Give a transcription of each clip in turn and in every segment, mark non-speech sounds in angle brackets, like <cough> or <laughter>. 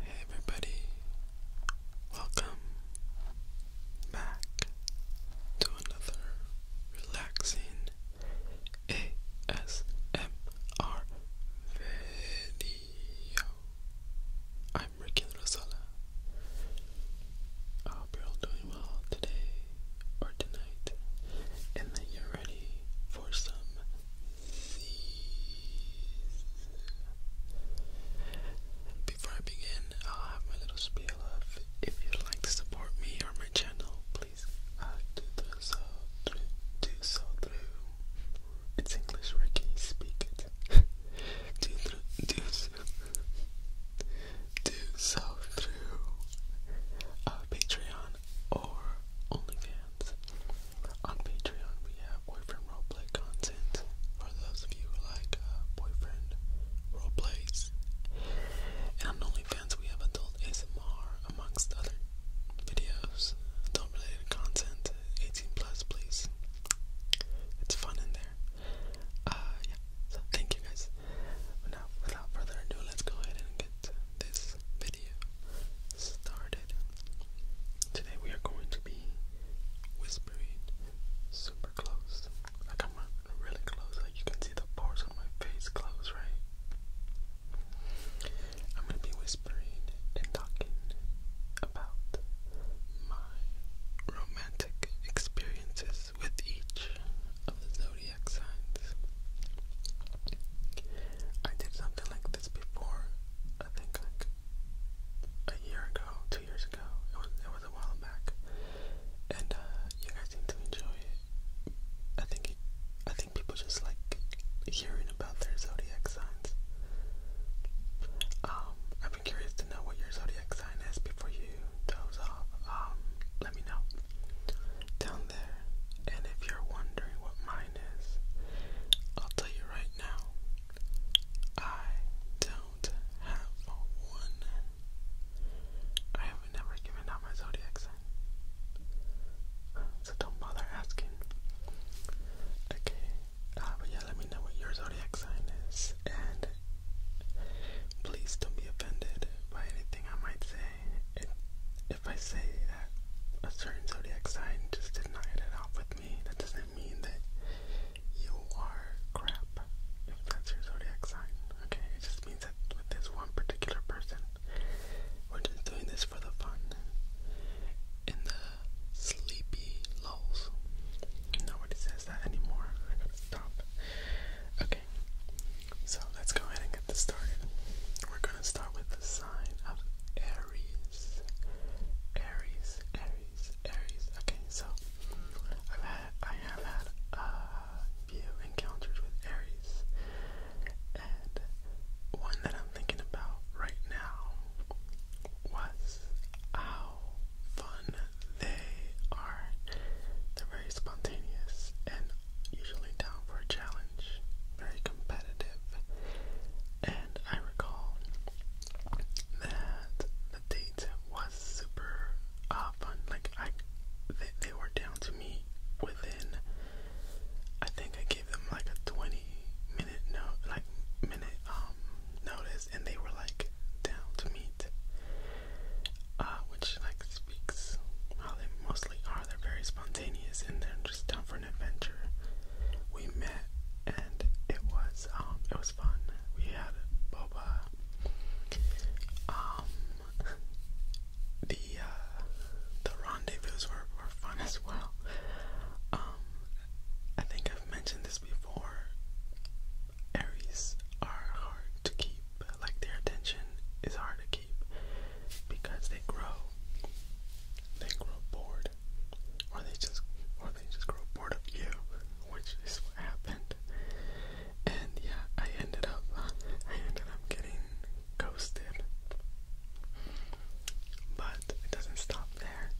Hey everybody, welcome back to another relaxing ASMR video. I'm Ricky and Rosala. I hope you're all doing well today or tonight, and that you're ready for some Z's. Before I begin, I'll have my little spiel of if you'd like to support me or my channel, please uh, do so through, do so through. It's English, Ricky. Speak it. <laughs> do, do do so through uh, Patreon or OnlyFans. On Patreon, we have boyfriend roleplay content for those of you like uh, boyfriend roleplays. And OnlyFans, we have adult ASMR amongst other videos, adult related content, 18 plus, please. It's fun in there. Uh, yeah, so thank you guys. now, without further ado, let's go ahead and get this video started. Today, we are going to be whispering super close. Like, I'm really close. Like, you can see the pores on my face close, right? I'm gonna be whispering and talking about my romantic experiences with each of the zodiac signs. I did something like this before, I think like a year ago, two years ago. It was it was a while back, and uh, you guys seem to enjoy it. I think I think people just like hearing about their zodiac signs. Um, i am curious to know what your zodiac sign is before you doze off. Um, let me know down there. And if you're wondering what mine is, I'll tell you right now. I don't have one. I have never given out my zodiac sign. So don't bother asking. Okay, uh, but yeah, let me know what your zodiac sign is, and please don't be offended by anything I might say. It, if I say that a certain zodiac sign just did not hit it off with me, that doesn't mean that you are crap. If that's your zodiac sign, okay, it just means that with this one particular person, we're just doing this for the fun. In the sleepy lulls, nobody says that anymore. stop. Okay, so let's go ahead and get this started. We're gonna start with the sign of Aries. Aries, Aries, Aries. Okay, so I've had, I have had a few encounters with Aries, and one that I'm thinking about right now was how fun they are. They're very spontaneous and usually down for a challenge, very competitive. And I recall that the date was super uh, fun. Like I, they, they were down to me within. I think I gave them like a twenty minute no, like minute um um, noticed, and they were like down to meet, uh, which like speaks how they mostly are. They're very spontaneous and they're just down for an adventure. We met, and it was um, it was fun. We had boba. Um, the uh, the rendezvous were were fun as well. Um, I think I've mentioned this before. Aries are hard to keep, like their attention is hard to keep because they grow. They grow bored, or they just, or they just grow bored of you, which is what happened. And yeah, I ended up, I ended up getting ghosted. But it doesn't stop there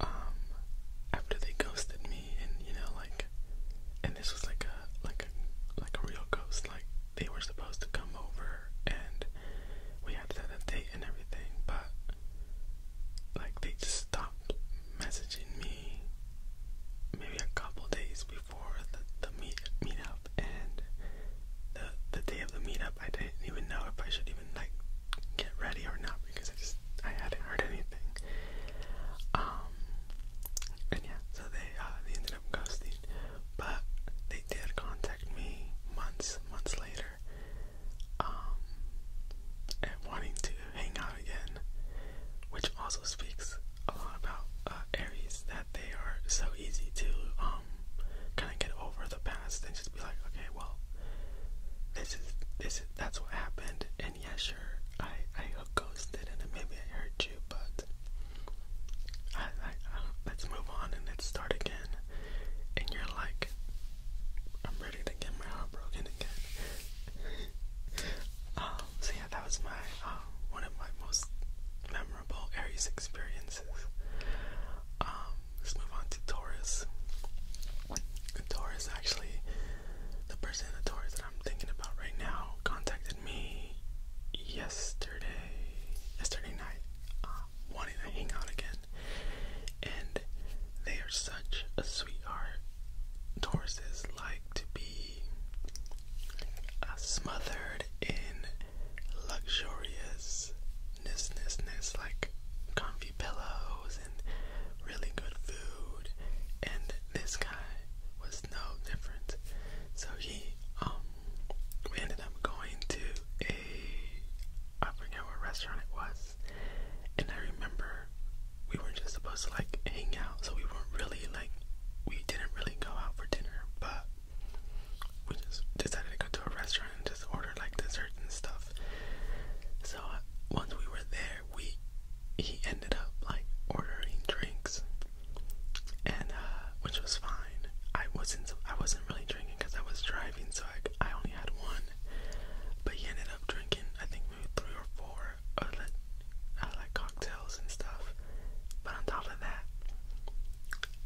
um after they ghosted me and you know like and this was like a like a like a real ghost like they were supposed to come over and we had set a date and everything but like they just stopped messaging me maybe a couple days before the the meet meetup and the the day of the meetup I didn't even know if I should even even like get ready or not because I just I hadn't heard anything. Um, and yeah, so they uh, they ended up ghosting, but they did contact me months months later, um, and wanting to hang out again, which also speaks a lot about uh, Aries that they are so easy to um kind of get over the past and just be like, okay, well, this is this is that's what happened. And yeah, sure, I I ghosted and maybe I hurt you, but I, I, let's move on and let's start again. And you're like, I'm ready to get my heart broken again. <laughs> Um, so yeah, that was my um, one of my most memorable Aries experiences. Um, let's move on to Taurus a Taurus actually, the person in the Taurus that I'm thinking about right now contacted me yesterday, yesterday night, um, wanting to hang out again, and they are such a sweetheart. is like to be uh, smothered in luxuriousness, like comfy pillows really good food, and this guy was no different. So he, um, we ended up going to a, I forget what restaurant it was, and I remember we were just supposed to like hang out, so we weren't really like, we didn't really go out for dinner, but we just decided to go to a restaurant and just order ordered like desserts and stuff. So uh, once we were there, we he ended up like ordering drinks, and uh, which was fine. I wasn't I wasn't really drinking because I was driving, so I I only had one. But he ended up drinking I think maybe three or four other uh, like cocktails and stuff. But on top of that,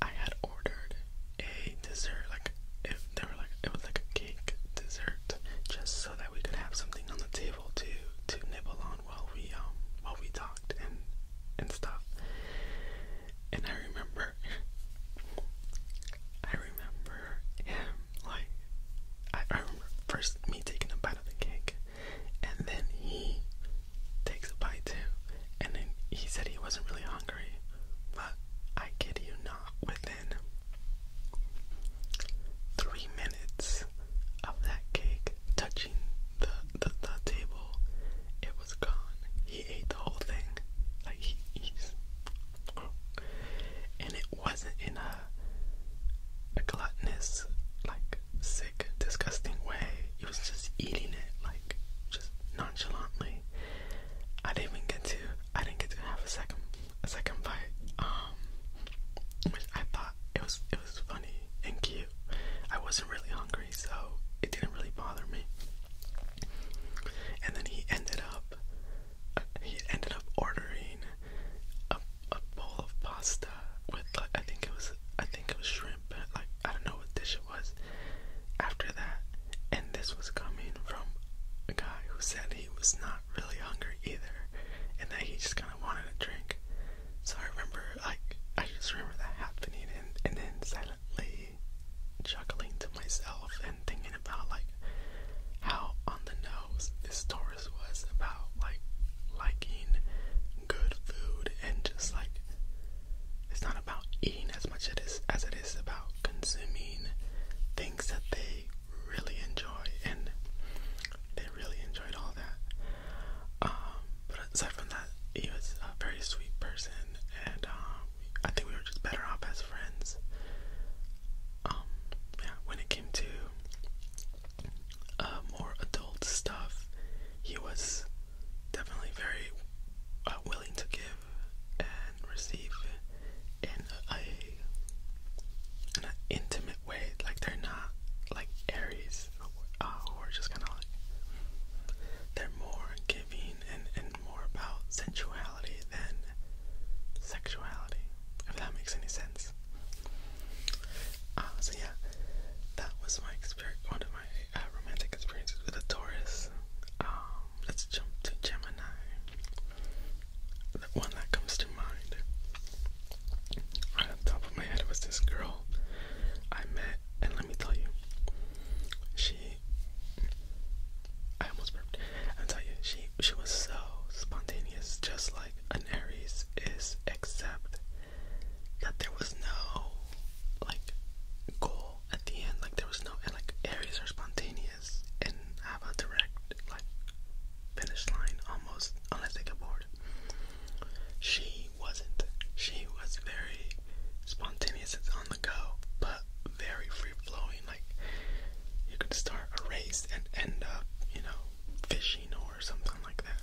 I had ordered a dessert like if they were like it was like a cake dessert just so that we could have something on the table to to nibble on while we um while we talked and and stuff. And I remember I remember him like I, I remember first me taking a bite of the cake and then he takes a bite too and then he said he wasn't really hungry but I kid you not within Three minutes of that cake touching the, the, table, it was gone. He ate the whole thing. Like he eats. And it wasn't in a, a gluttonous, like sick, disgusting way. He was just eating it, like just nonchalantly. I didn't even get to I didn't get to have a second a second bite, which I thought it was it was funny and cute. I wasn't really hungry, so it didn't really bother me. And then he ended up uh, he ended up ordering a, a bowl of pasta with like, I think it was I think it was shrimp, like I don't know what dish it was. After that, and this was coming from a guy who said he he was not really hungry either, and that he just kind of wanted a drink. So I remember, like, I just remember that happening, and and then silently chuckling to myself and thinking about like how on the nose this Taurus was about like liking good food and just like it's not about eating as much as it is as it is about consuming things that they really enjoy, and they really enjoyed all that. Um, but aside from that, he was a very sweet person, and um, I think we were just better off as friends. Um, yeah, when it came to uh, more adult stuff, he was definitely very uh, willing to give and receive in a, an intimate way. Like they're not like Aries, uh, who are just kind of like they're more giving and and more about sensuality than sexuality. If that makes any sense. Uh, so yeah, that was my experience. One of my uh, romantic experiences with a Taurus. Um, let's jump to Gemini. The one that comes to mind. Right on top of my head was this girl I met, and let me tell you, she. I almost burped. i tell you, she she was so spontaneous, just like an Aries is, except that there was no like goal at the end. Like there was no like Aries are spontaneous and have a direct like finish line almost unless they get bored. She wasn't. She was very spontaneous on the go, but very free flowing, like you could start a race and end up, you know, fishing or something like that.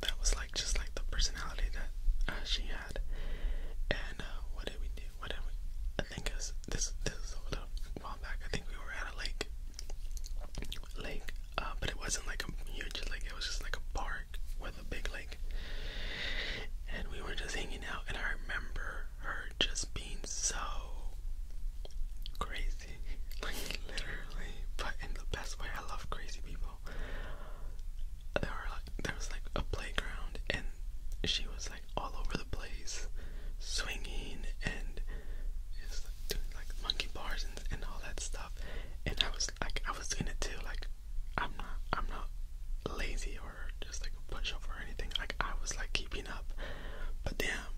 That was like just like the personality that uh, she had. And uh, what did we do? do? I think was, this this was a little while back. I think we were at a lake, lake, uh, but it wasn't like a huge lake. It was just like a park with a big lake, and we were just hanging out. And I remember her just being so crazy, <laughs> like literally, but in the best way. I love crazy people. There was like a playground, and she was like all over the place, swinging and just doing like monkey bars and, and all that stuff. And I was like, I was in it too. Like, I'm not, I'm not lazy or just like a pushover or anything. Like, I was like keeping up. But damn,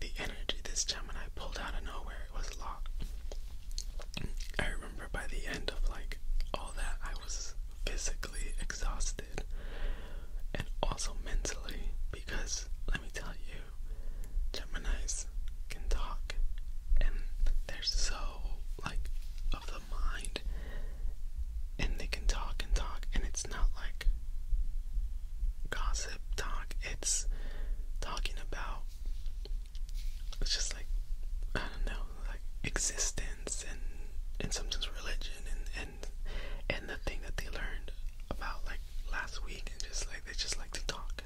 the energy this time when I pulled out of nowhere it was locked. I remember by the end of like all that, I was physically exhausted and also mentally because let me tell you, Geminis can talk and they're so like of the mind and they can talk and talk and it's not like gossip talk, it's talking about it's just like I don't know, like existence and and sometimes religion and, and the thing that they learned about like last week and just like they just like to talk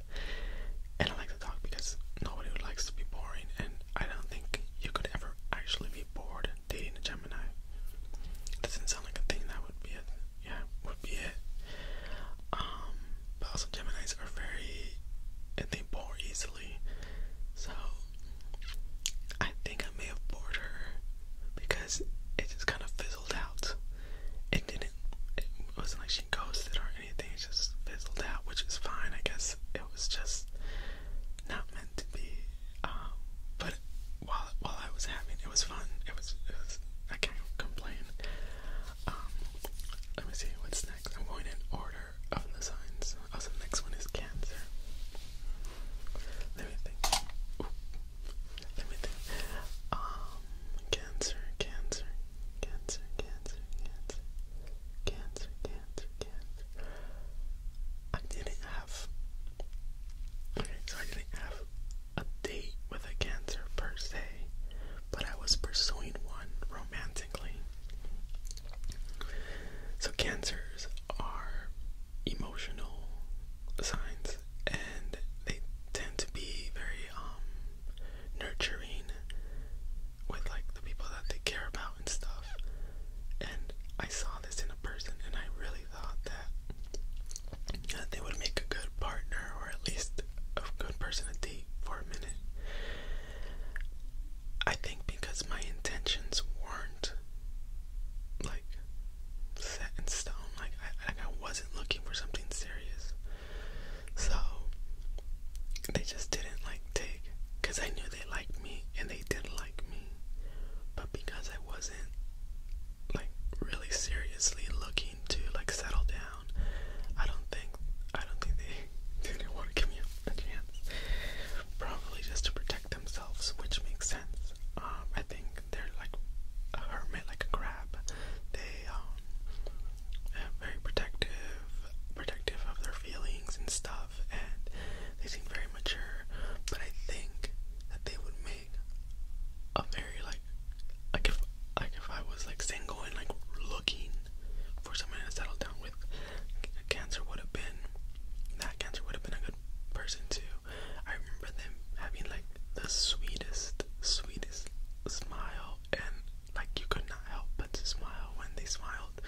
and I like to talk because nobody likes to be boring and I don't think you could ever actually be bored dating a Gemini. Doesn't sound like a thing that would be it. Yeah, would be it. Um, but also Geminis are very and they bore easily. So think I may have bored her because it just kind of fizzled out. It didn't, it wasn't like she ghosted or anything, it just fizzled out, which is fine, I guess. It was just not meant to be. Um, but while while I was having, it was fun. It was, I can't complain. Um, let me see what's next. I'm going in order of the signs. Also, oh, the next one is Cancer. Let me think. Let me think. Um, cancer, cancer, cancer, cancer, cancer, cancer, cancer, cancer. I didn't have. Okay, so I didn't have a date with a cancer per se, but I was pursuing one romantically. So cancers are emotional signs, and they tend to be very um nurturing with like the people that they care about and stuff. And I saw this in a person, and I really thought that, that they would make a good partner, or at least a good person to date for a minute. I think because my intentions weren't like set in stone. Like I, like I wasn't looking for something serious, so they just didn't like take. Cause I knew they liked me and they did like me, but because I wasn't like really seriously looking to like settle down, I don't think I don't think they, <laughs> didn't want to give me a chance. Probably just to protect like themselves, which makes sense. Um, I think they're like a hermit, like a crab. They um, very protective, protective of their feelings and stuff, and they seem very mature. But I think that they would make a very like, like if like if I was like single and like looking for someone to settle down with, cancer would have been that cancer would have been a good person to I remember them having like the sweetest, sweetest smile, and like you could not help but to smile when they smiled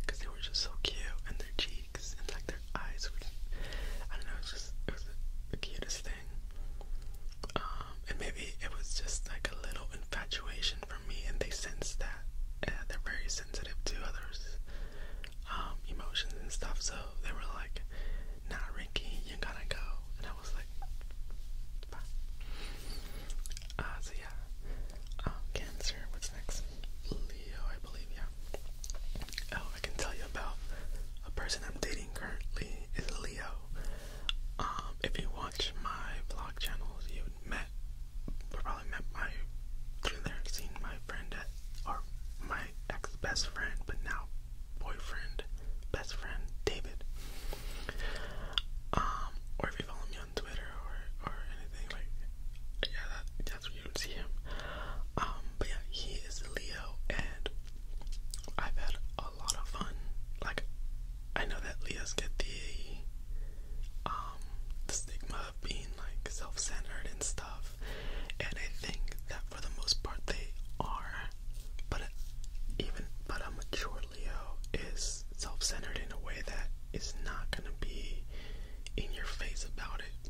because they were just so cute, and their cheeks and like their eyes were just, I don't know, it was just it was the cutest thing. Um, and maybe it was just like a little infatuation for me, and they sensed that. Yeah, they're very sensitive to others. Um, emotions and stuff. So they were like, "Not Rinky, you gotta go," and I was like, "Bye." Uh, so yeah, um, Cancer. What's next? Leo, I believe. Yeah. Oh, I can tell you about a person I'm dating currently is Leo. Um, if you watch my vlog channels, you met, probably met my through there, seen my friend or my my ex best friend, but now boyfriend, best friend, David. Um, or if you follow me on Twitter or or anything like, yeah, that's where you would see him. Um, but yeah, he is Leo, and I've had a lot of fun. Like, I know that Leos get the um the stigma of being like self-centered and stuff stuff. And I think that for the most part they are. But even but a mature Leo is self-centered in a way that is not gonna be in your face about it.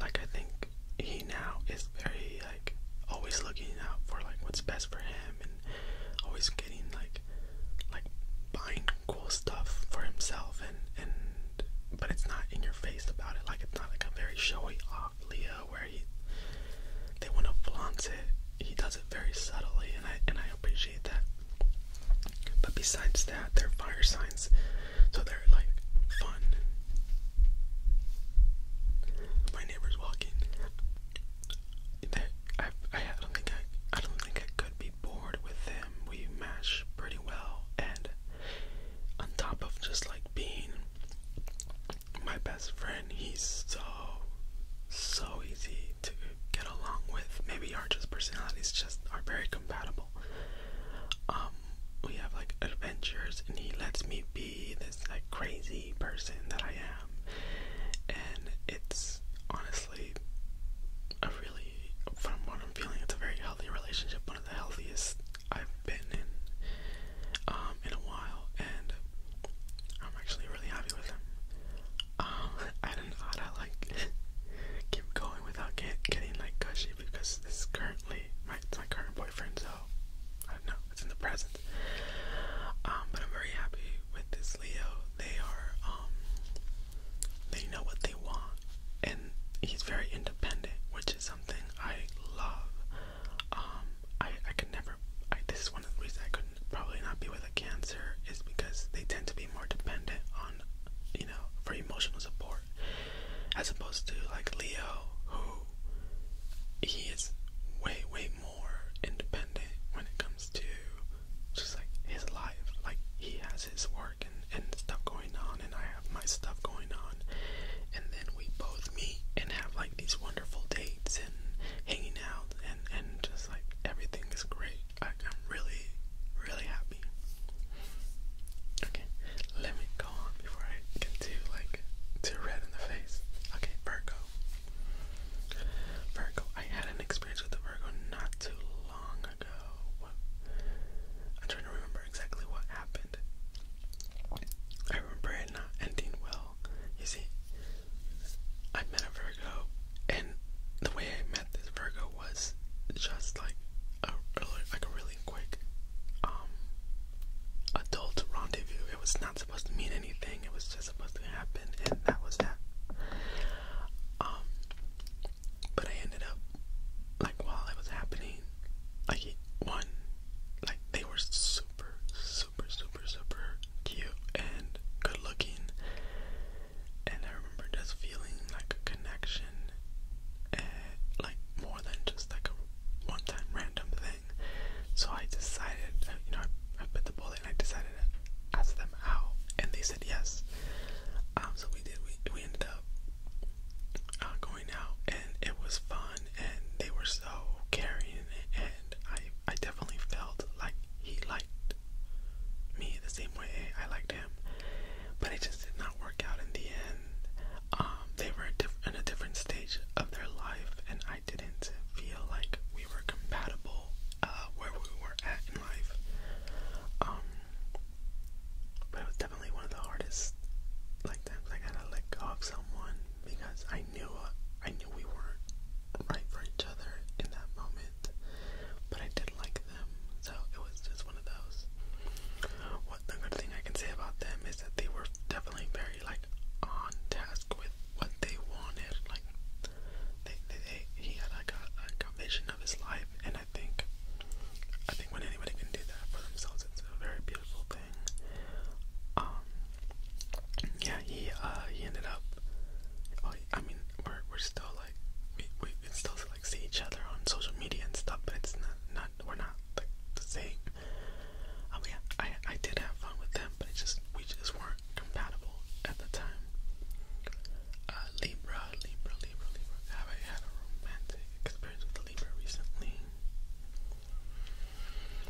Like I think he now is very like always looking out for like what's best for him and always getting like like buying cool stuff for himself and and but it's not in your face about it. Like it's not like a very showy off Leo where he they want to flaunt it. He does it very subtly, and I and I appreciate that. But besides that, they're fire signs, so they're like fun. My neighbor's walking. I I don't think I I don't think I could be bored with them. We mash pretty well, and on top of just like being my best friend, he's so so easy to get along with. Maybe our just personalities just are very compatible. Um, we have like adventures, and he lets me be this like crazy person that I am, and it's honestly a really, from what I'm feeling, it's a very healthy relationship, one of the healthiest I've been in um, in a while, and I'm actually really happy with him. Um, <laughs> I don't know how to like <laughs> keep going without getting like gushy because this is currently my it's my current boyfriend, so I don't know. It's in the present. Um, but I'm very happy with this Leo. They are they know what they want and he's very independent, which is something I love. Um, I I could never. this is one of the reasons I could probably not be with a cancer is because they tend to be more dependent on, you know, for emotional support, as opposed to like Leo, who he is way way more independent when it comes to just like his life. Like he has his work and, stuff going on, and I have my stuff going on, and then we both meet and have like these wonderful dates and hanging out, and, and just like everything is great. I, am really, really happy. Okay, let me go on before I get too like too red in the face. Okay, Virgo. Virgo, I had an experience with a Virgo not too long ago. I'm trying to remember exactly what happened. I remember it not ending well. You see, I met a Virgo, and the way I met this Virgo was just like a really, quick um, adult rendezvous. It was not supposed to mean anything. It was just supposed to happen, and that was that. Um, but I ended up like while it was happening, like one, like they were super, super, super, super cute and good looking. And I remember just feeling like a connection, and eh, like more than just like a one time random thing. So I decided, uh, you know, I, I bit the bullet and I decided to ask them out, and they said yes. Um, so we did, we, we ended up uh, going going and it was fun and they were so caring and I I definitely felt like he liked me the same way I liked him. But it just did not work out in the end. Um, they were in a different stage of their life and I didn't feel like we were compatible uh, where we were at in life. Um, but it was definitely one of the hardest like times I gotta let go of someone because I knew uh, I knew we weren't right for each other in that moment, but I did like them, so it was just one of those. What the good thing I can say about them is that they were definitely very like on task with what they wanted. Like they, they, they he had like a, like a vision of his life, and I think I think when anybody can do that for themselves, it's a very beautiful thing. Um, yeah, he uh, he ended up. Oh, I mean, we're we're still like we we still like see each other on social media and stuff, but it's not not we're not the same. Um, yeah, I I did have fun with them, but just we just weren't compatible at the time. Uh, Libra, Libra, Libra, Libra. Have I had a romantic experience with a Libra recently?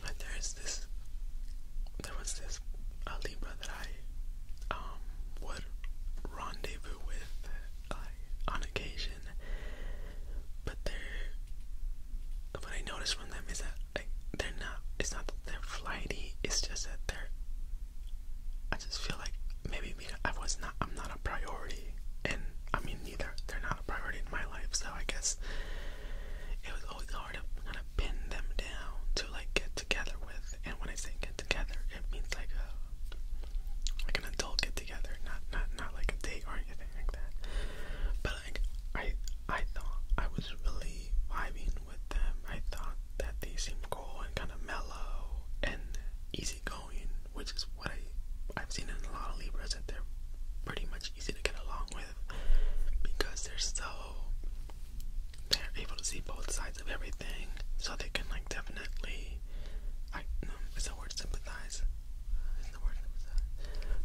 But there's this there was this a Libra that I um, would rendezvous with on occasion. But they what I noticed from them is that they're not it's not that they're flighty, it's just that they're I just feel like maybe I was not, I'm not a priority, and I mean, neither, they're not a priority in my life, so I guess it was always hard to kind of pin them down to like get together with, and when I say get together, it means like a, like an adult get together, not, not, not like a date or anything like that, but like, I, I thought I was really vibing with them, I thought that they seemed cool and kind of mellow and easygoing outgoing, which is what I I've seen in a lot of Libras that they're pretty much easy to get along with because they're so they're able to see both sides of everything, so they can like definitely I no it's the word sympathize. It's the word sympathize.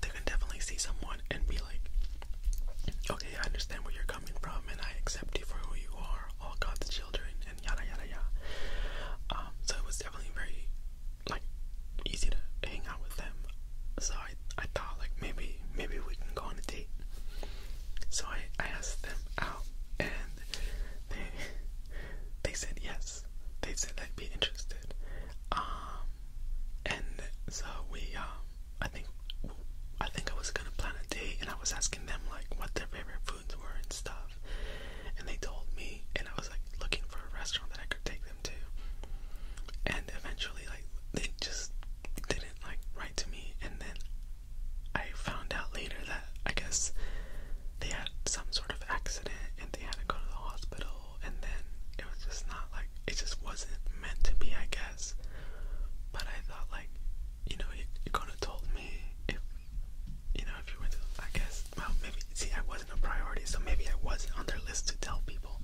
They can definitely see someone and be like, okay, I understand where you're coming from, and I accept you for who you are, all God's children, and yada yada yada. Um, so it was definitely very like easy to hang out with them. So I I thought like maybe maybe we can go on a date. So I, I asked them out and they <laughs> they said yes. They said they'd be interested. Um and so we um I think I think I was gonna plan a date and I was asking them like what their favorite foods were and stuff restaurant. And they told me, and I was like looking for a restaurant that I could take them to. And eventually, like, they just didn't like write to me. And then I found out later that I guess they had some sort of accident and they had to go to the hospital. And then it was just not like it just wasn't meant to be, I guess. But I thought, like, you know, you, you could have told me if you know, if you went to, I guess, well, maybe, see, I wasn't a priority, so maybe I wasn't on their list to tell people.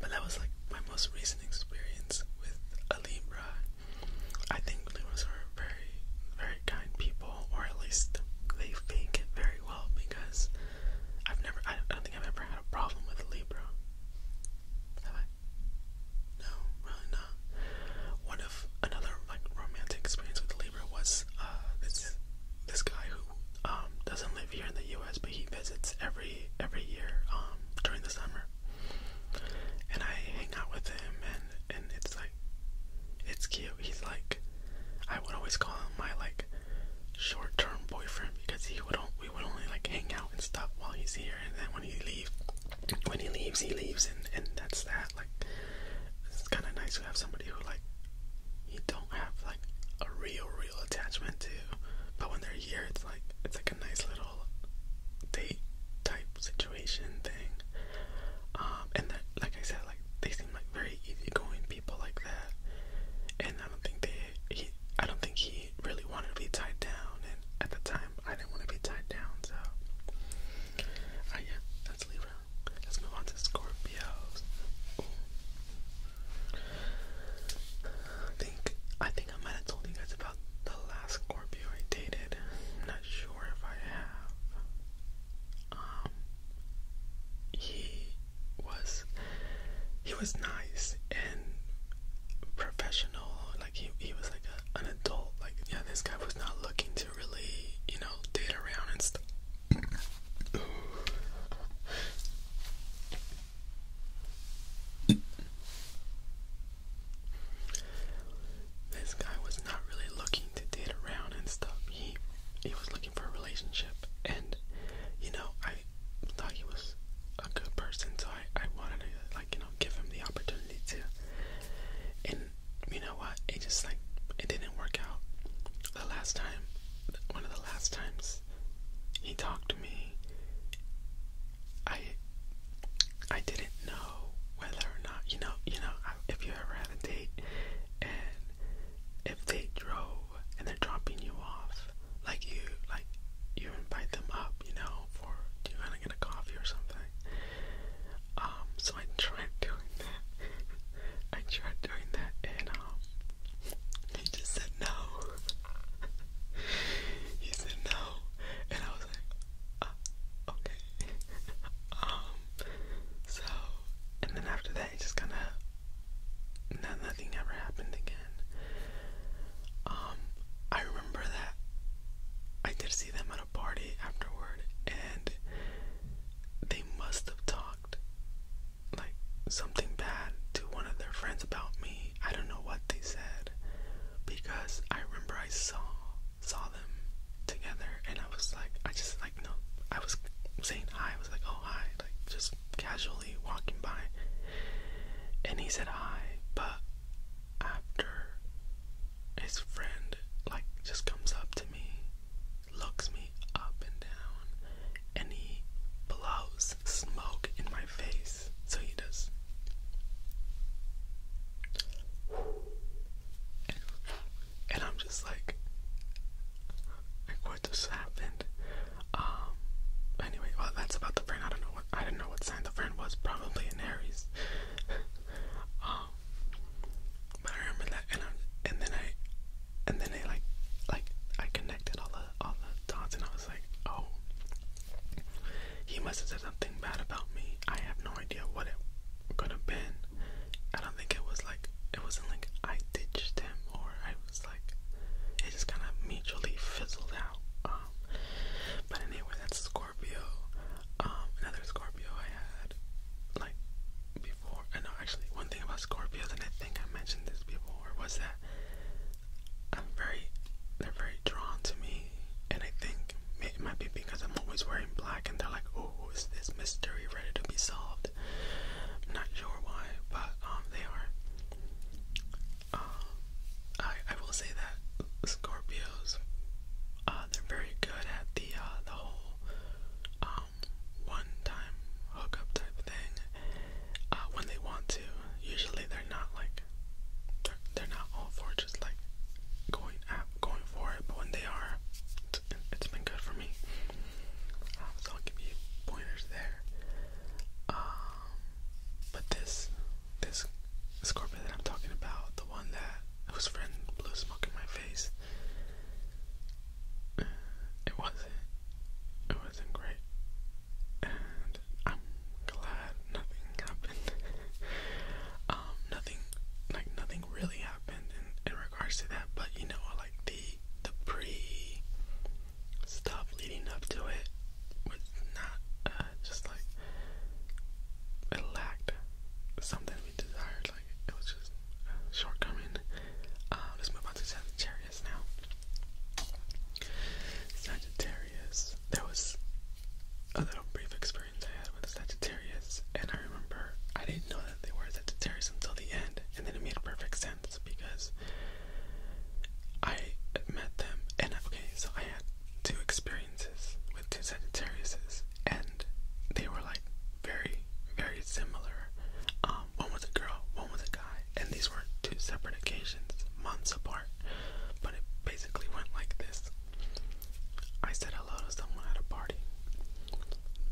But that was like my most recent experience with a Libra. I think Libras are very, very kind people, or at least they fake it very well because I've never, I don't think I've ever had a problem with a Libra. Have I? No, really not. One of another like romantic experience with Libra was uh, this this guy who um, doesn't live here in the U.S. but he visits every every year um, during the summer, and I hang out with him and and it's like it's cute. He's like I would always call him my like short term boyfriend because he would we would only like hang out and stuff while he's here and then when he leaves when he leaves he leaves and and that's that like it's kind of nice to have somebody who like you don't have like a real, real attachment to, but when they're here, it's like it's like a nice little date type situation thing. Um, and like I said, like they seem like very easygoing people like that, and I don't think they he I don't think he really wanted to be tied down, and at the time I didn't want to be tied down, so uh, yeah, that's Libra. Let's move on to Scorpios. I think I think I might have told you guys about the last Scorpio I dated. not sure if I have. Um he was he was nice and professional like he, he was like an adult like yeah this guy was not looking to really you know date around and stuff this guy was not really looking to date around and stuff. He he was looking for a relationship and you know, I thought he was a good person so I, I wanted to like, you know, give him the opportunity to and you know what? It just like it didn't work out. The last time, one of the last times he talked to me, I I didn't know whether or not you know you know if you ever had a date and if they drove and they're dropping you off like you like you invite them up you know for do you want to get a coffee or something um, so I tried doing that. <laughs> I tried doing that, and um, he just said no. <laughs> he said no, and I was like, uh, okay. <laughs> um, so and then after that, it just kind of no, nothing ever happened again. Um, I remember that I did see them at a party afterward, and they must have talked like something bad to one of their friends about me. I don't know what they said because I remember I saw saw them together and I was like I just like no I was saying hi, I was like, oh hi, like just casually walking by. And he said hi, but after his friend like just comes up to me looks me up and down, and he blows smoke in my face. So he does. And, I'm just like, what just happened? Um. Anyway, well, that's about the friend. I don't know what I don't know what sign the friend was. Probably an Aries. <laughs> um. But I I, and then I, and then I like, like I connected all the all the dots, and I was like, oh, he must have said something bad about me. I have no idea what it could have been. I don't think it was like it wasn't like I ditched him or I was like it just kind of mutually fizzled out. Um, but anyway, that's Scorpio. Um, another Scorpio I had like before I uh, know actually one thing about Scorpios and I think I mentioned this before was that I'm very they're very drawn to me and I think it might be because I'm always wearing black and they're like oh is this mystery ready to be solved i not sure why but um they are uh, I, I will say that Scorpios uh, they're very good at the uh, the whole um, one-time hookup type thing uh, when they want to. Usually they're not like they're, not all for just like going at, going for it, but when they are, it's, it's been good for me. Um, so I'll give you pointers there. Um, but this this scorpion that I'm talking about, the one that whose friend blew smoke in my face, it wasn't it wasn't great and I'm glad nothing happened. <laughs> um nothing like nothing really happened in, in regards to that but you know like the the pre stuff leading up to it was not uh, just like it lacked something we desired like it was just a shortcoming. Uh, let's move on to Sagittarius now. Sagittarius, there was a little brief experience I had with Sagittarius, and I remember I didn't know that they were Sagittarius until the end, and then it made perfect sense because I met them, and okay, so I had two experiences with two Sagittariuses movies, and they were like very, very similar. Um, one was a girl, one was a guy, and these were two separate occasions, months apart. But it basically went like this: I said hello to someone at a party.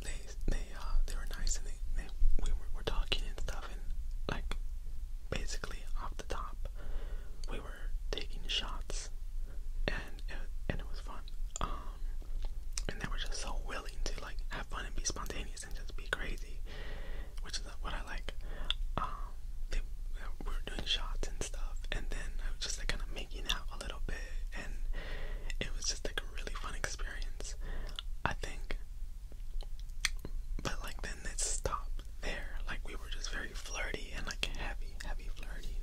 They, they, uh, they were nice, and they, they we were, were talking and stuff, and like basically off the top, we were taking shots, and and it, was fun. Um, and they were just so willing to like have fun and be spontaneous and just be crazy, which is what I like. Um, they were doing shots and stuff, and then I was just like kind of making out a little bit, and it was just like a really fun experience. I think. But like then it stopped there. Like we were just very flirty and like heavy, heavy flirting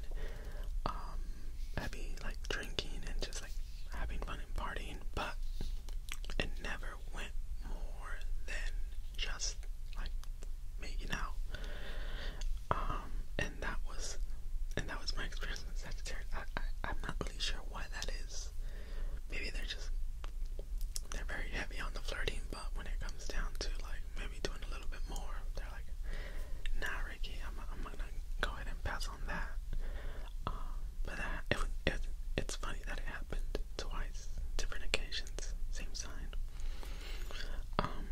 um, I'd be like drinking and just like having fun and partying, but it never went more than just like making out. Um, and that was, and that was my experience with Sagittarius. I, I, I'm not really sure why that is. Maybe they're just they're very heavy on the flirting, but when it comes down to like maybe doing a little bit more, they're they like, nah, Ricky, I'm, I'm gonna go ahead and pass on that. Um, but that, it, it, it's funny that it happened twice, different occasions, same sign. Um,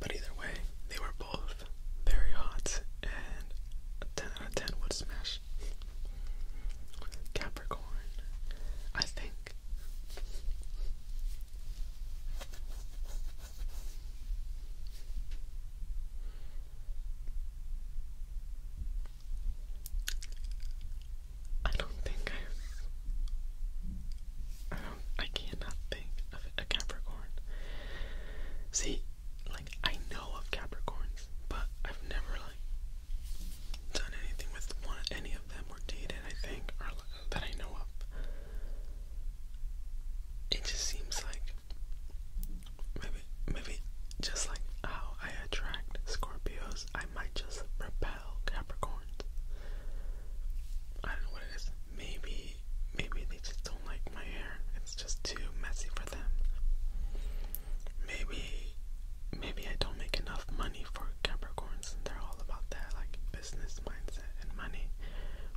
but either way, they were both very hot, and a 10 out of 10 would smash. Capricorn, I think. I don't think I've. I i do not I cannot think of a Capricorn. See, like, I know of Capricorns, but I've never, like, done anything with any of them or dated, I or that I know of. It just seems like maybe maybe just like how I attract Scorpios, I might just repel Capricorns. I don't know what it is. Maybe maybe they just don't like my hair. It's just too messy for them. Maybe maybe I don't make enough money for Capricorns and they're all about that like business mindset and money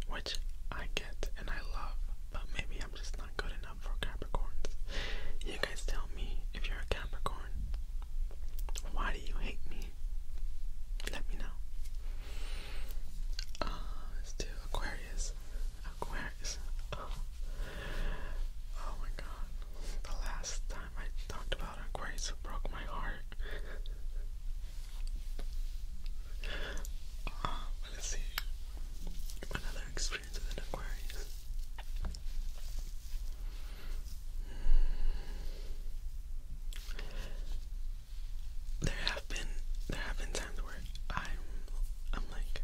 which I get and I love, but maybe I'm just not good enough for Capricorns. You guys tell me if you're a Capricorn. Why do you hate me? Let me know. Uh, let's do Aquarius. Aquarius. Oh, oh. my god. The last time I talked about Aquarius, broke my heart let's see. Another experience with an Aquarius. There have been there have been times where I'm I'm like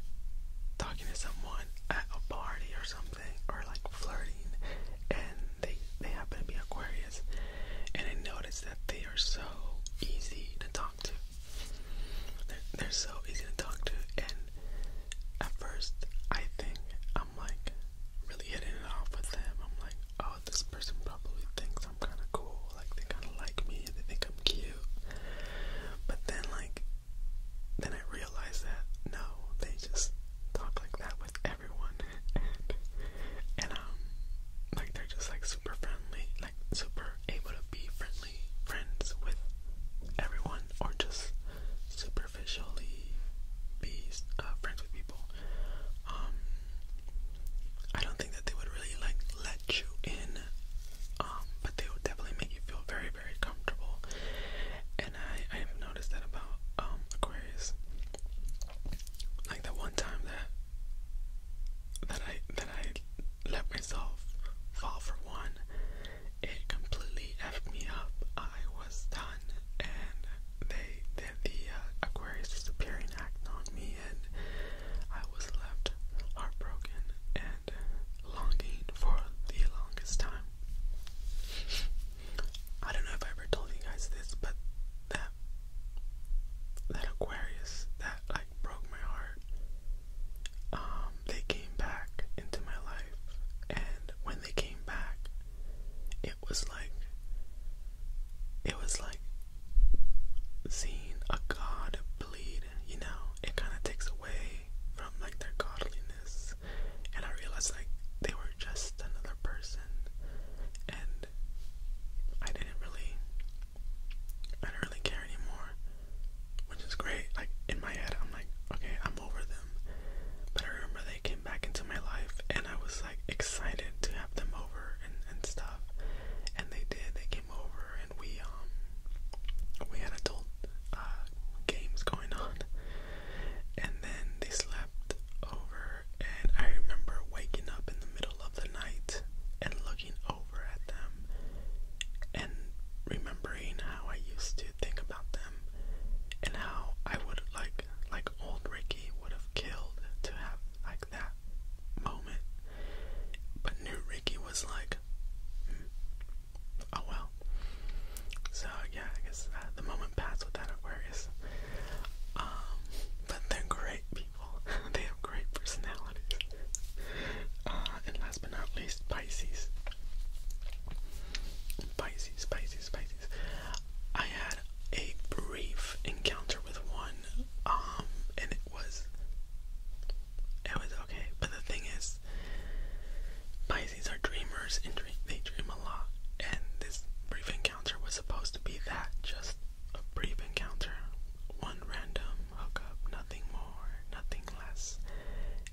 talking to someone at a party or something or like flirting and they they happen to be Aquarius and I notice that they are so easy to talk to. They're, so easy to talk to, and at first I think I'm like really hitting it off with them. I'm like, oh, this person probably thinks I'm kind of cool, like they kind of like me, they think I'm cute. But then, like, then I realize that no, they just talk like that with everyone, <laughs> and, and um, like they're just like super friendly, like super able to be friendly friends with everyone or just superficially be uh, friends with people. Um, I don't think that they would really like let you in, um, but they would definitely make you feel very, very comfortable. And I, I have noticed that about um, Aquarius. Like that one time that that I that I let myself fall for one. It completely effed me up. I was done, and they did the uh, Aquarius disappearing act on me, and I was left heartbroken and longing for the longest time. I don't know if I ever told you guys this, but that that Aquarius that like broke my heart. Um, they came back into my life, and when they came back, it was like it was like seeing a god bleed. You know, it kind of takes away from like their godliness, and I realized like they were just another person, and I didn't really I didn't really care anymore, which is great. Like in my head, I'm like, okay, I'm over them. But I remember they came back into my life, and I was like excited to have them over and and stuff. And they did. They came over, and we um we had adult uh, games going on. And then they slept over, and I remember waking up in the middle of the night and looking over at them and remembering how I used to think about them and how I would like like old Ricky would have killed to have like that moment. But new Ricky was like hmm, oh well. So yeah, I guess uh, the moment passed with that Aquarius. Um, but they're great <laughs> they have great personalities. Uh, and last but not least, Pisces. Pisces, Pisces, Pisces. I had a brief encounter with one, um, and it was it was okay. But the thing is, Pisces are dreamers and they dream a lot. And this brief encounter was supposed to be that, just a brief encounter one random hookup, nothing more, nothing less.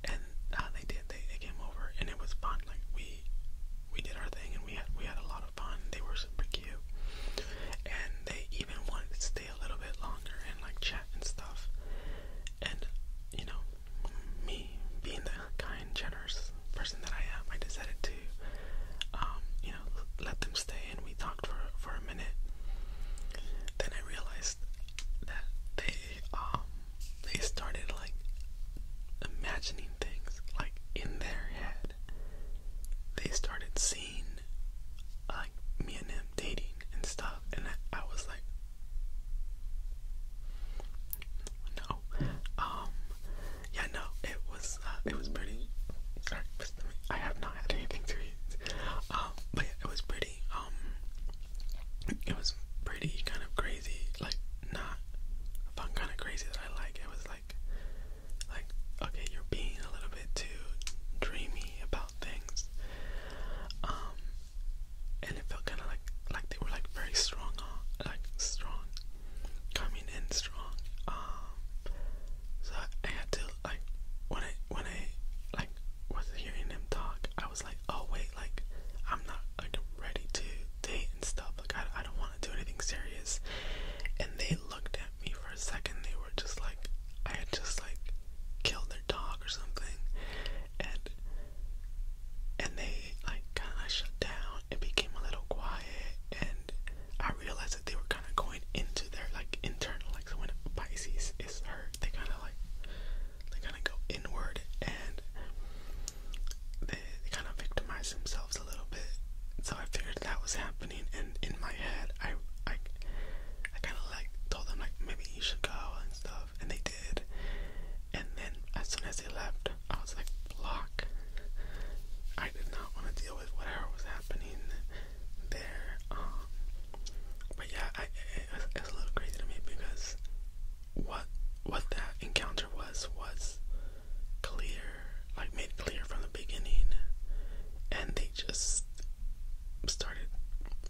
And uh, they did. They, came over, and it was fun. Like we we did our thing, and we had we had a lot of fun. They were super cute, and they even wanted to stay a little bit longer and like chat and stuff. And you know, me being the kind, generous person that I am, I decided to um, you know let them stay, and talked for for a minute. Then I realized that they um they started like imagining things like in their head. They started seeing like me and him dating and stuff, and I, I was like, no, um, yeah, no, it was uh, it was pretty. I have not had anything to eat. Um, but it was pretty, um, it was pretty kind of crazy, like, not fun kind of crazy that I like. It was like, like, okay, you're being a little bit too dreamy about things. Um, and it felt kind of like, like they were like very strong, like strong, coming in strong. so I had to like when I when I like was hearing him talk, I was like, oh wait, like I'm not like ready to date and stuff. Like I I don't want to do anything serious. And they looked at me for a second. They were just like I had just like killed their dog or something, and and they like kind of shut down. and became a little quiet, and I realized that they were kind of going into their like internal, like when Pisces is hurt, they kind of like they kind of go inward and they, kind of victimize themselves a little bit. So I figured that was happening, and in my head, I I I kind of like told them like maybe you should go and stuff, and they did. And then as soon as they left, I was like, block. I did not want to deal with whatever was happening there. Um, but yeah, it, it's a little crazy to me because what what that encounter was was clear, like made clear from the beginning, and they just started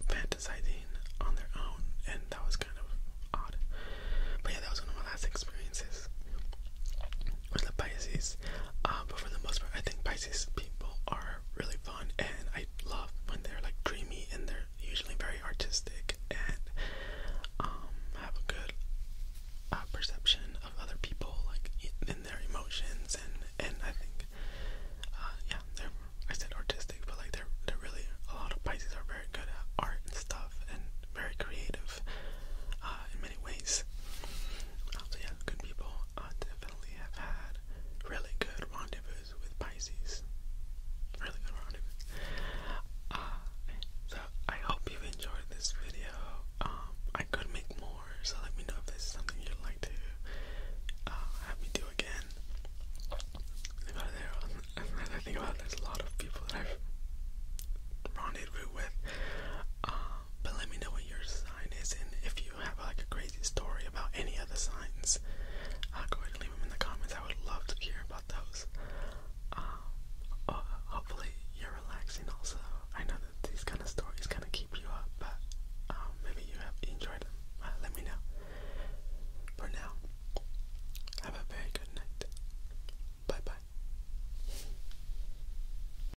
fantasizing on their own, and that was kind of odd. But yeah, that was one of my last experiences with the Pisces. Uh, but for the most part, I think Pisces people are really fun, and I love when they're like dreamy and they're usually very artistic and um, have a good uh, perception of other people, like in their emotions, and and I think, uh, yeah, they're I said artistic, but like they're they're really a lot of Pisces are very good at art and stuff, and very creative in many ways. so yeah, good people. I definitely have had really good rendezvous with Pisces. Really good rendezvous. Uh, so I hope you've enjoyed this video. Um, I could make more, so let me know if this is something you'd like to uh, have me do again. think about there's a lot of people that I've rendezvous with. Uh, but let me know what your sign is and if you have like a crazy story about any of signs uh, go ahead and leave them in the comments I would love to hear about those uh, uh, hopefully you're relaxing also I know that these kind of stories kind of keep you up but um, maybe you have enjoyed them let me know for now have a very good night bye bye